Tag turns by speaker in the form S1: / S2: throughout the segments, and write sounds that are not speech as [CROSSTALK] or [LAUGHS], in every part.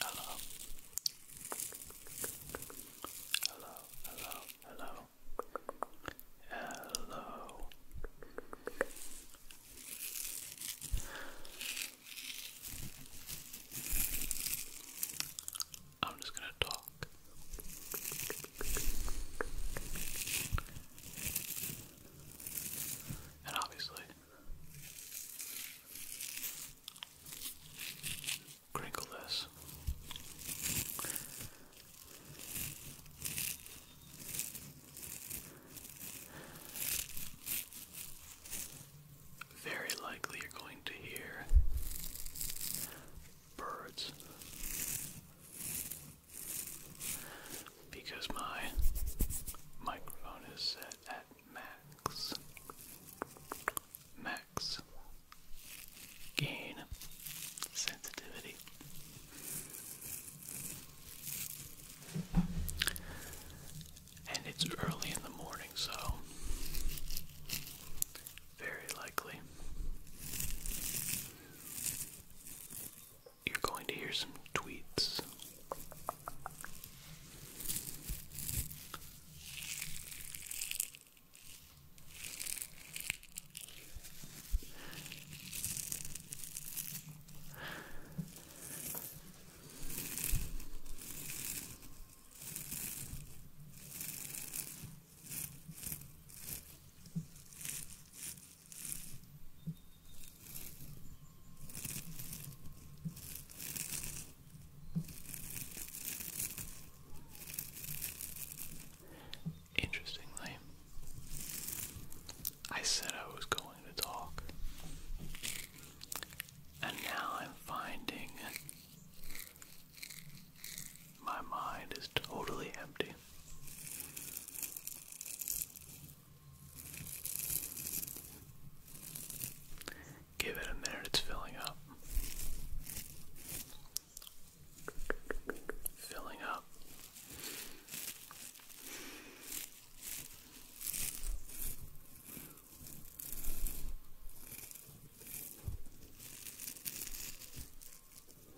S1: Hello. Hello, hello, hello. I'm just going to talk. And obviously, crinkle this. Very likely you're going to hear birds because my microphone is set at max. Max gain sensitivity. And it's early in the morning, so very likely you're going to hear some tweets. Interestingly, I said I was going to talk, and now I'm finding my mind is totally empty. Give it a minute, it's filling up. Filling up.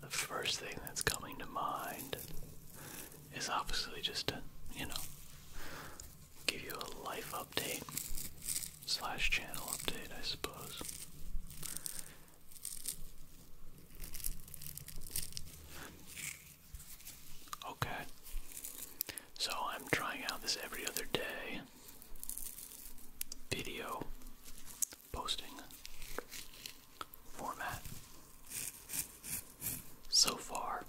S1: The first thing that's coming to mind is obviously just to, you know, give you a life update slash channel update, I suppose. Okay. So I'm trying out this every other day video posting format so far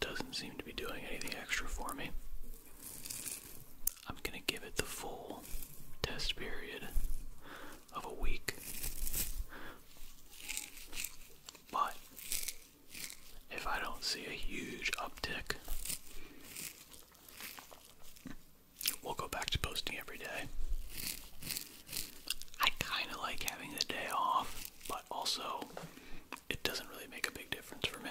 S1: doesn't seem to be doing anything extra for me. I'm going to give it the full test period of a week. But if I don't see a huge uptick, we'll go back to posting every day. I kind of like having the day off, but also it doesn't really make a big difference for me.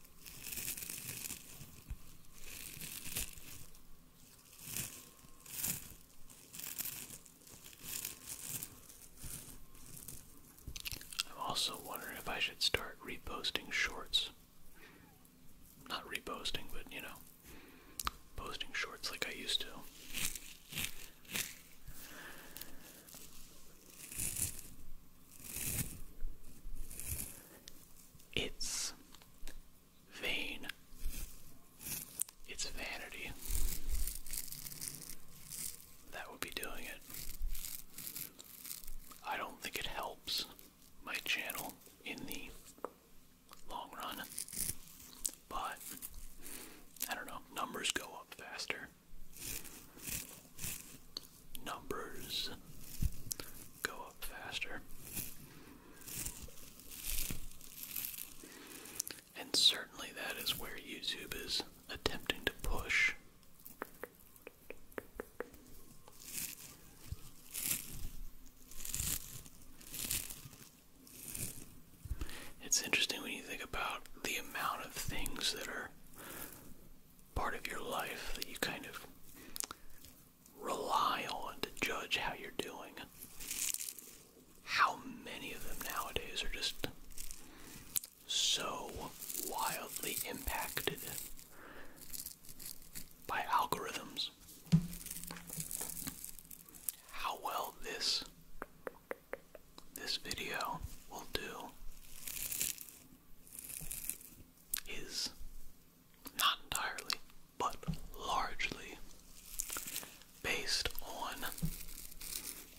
S1: I'm also wondering if I should start reposting shorts. Not reposting, but you know, posting shorts like I used to. It's vain. It's vanity. That would be doing it. I don't think it helps my channel in the long run, but I don't know, numbers go up faster numbers go up faster. And certainly that is where YouTube is attempting to push. It's interesting when you think about the amount of things that are part of your life that you kind of rely on to judge how you're doing. How many of them nowadays are just so wildly impacted by algorithms? How well this this video will do is not entirely, but largely based on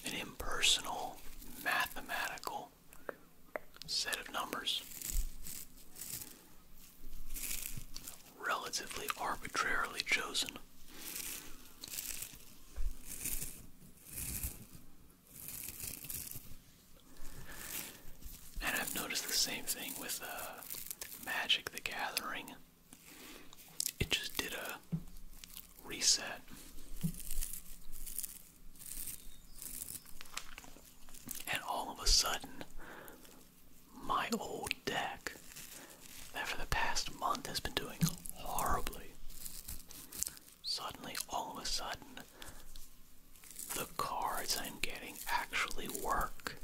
S1: an impersonal mathematical set of numbers relatively arbitrarily chosen and I've noticed the same thing with uh, Magic the Gathering. It just did a reset. And all of a sudden, my old deck that for the past month has been doing horribly Suddenly, all of a sudden, the cards I'm getting actually work.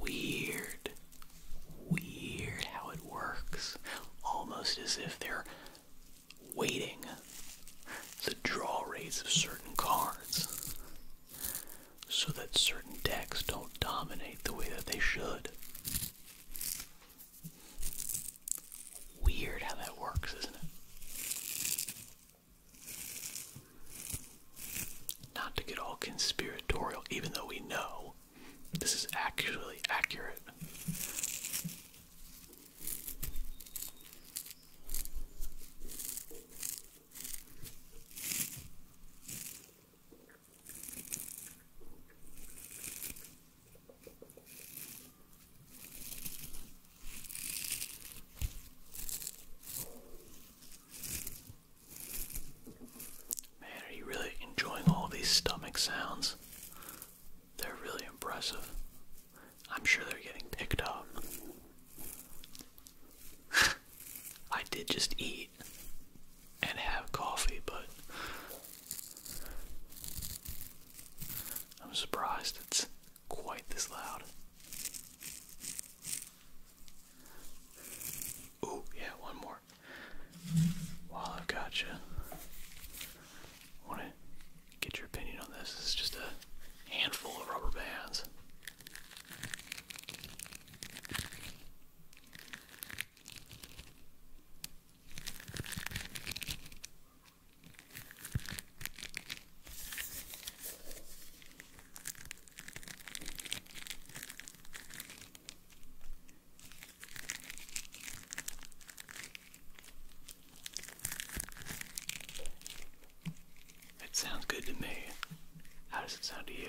S1: Weird. Weird how it works. Almost as if they're waiting the draw rates of certain cards so that certain decks don't dominate the way that they should. Weird how that works, isn't it? Not to get all conspiratorial, even though we know this is actually accurate. Man, are you really enjoying all these stomach sounds? They're really impressive. I'm sure they're getting picked up. [LAUGHS] I did just eat and have coffee, but I'm surprised it's quite this loud. Ooh, yeah, one more. While I've got you, want to get your opinion on this. It's just a handful of rubber bands. It sounds good to me. How does it sound to you?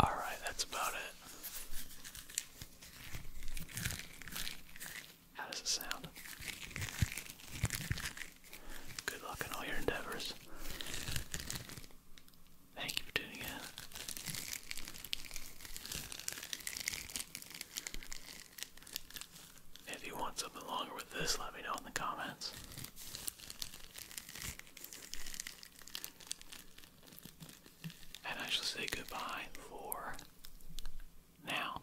S1: All right, that's about it. How does it sound? Good luck in all your endeavors. Thank you for tuning in. If you want something longer with this, let me know in the comments. And I shall say goodbye for now.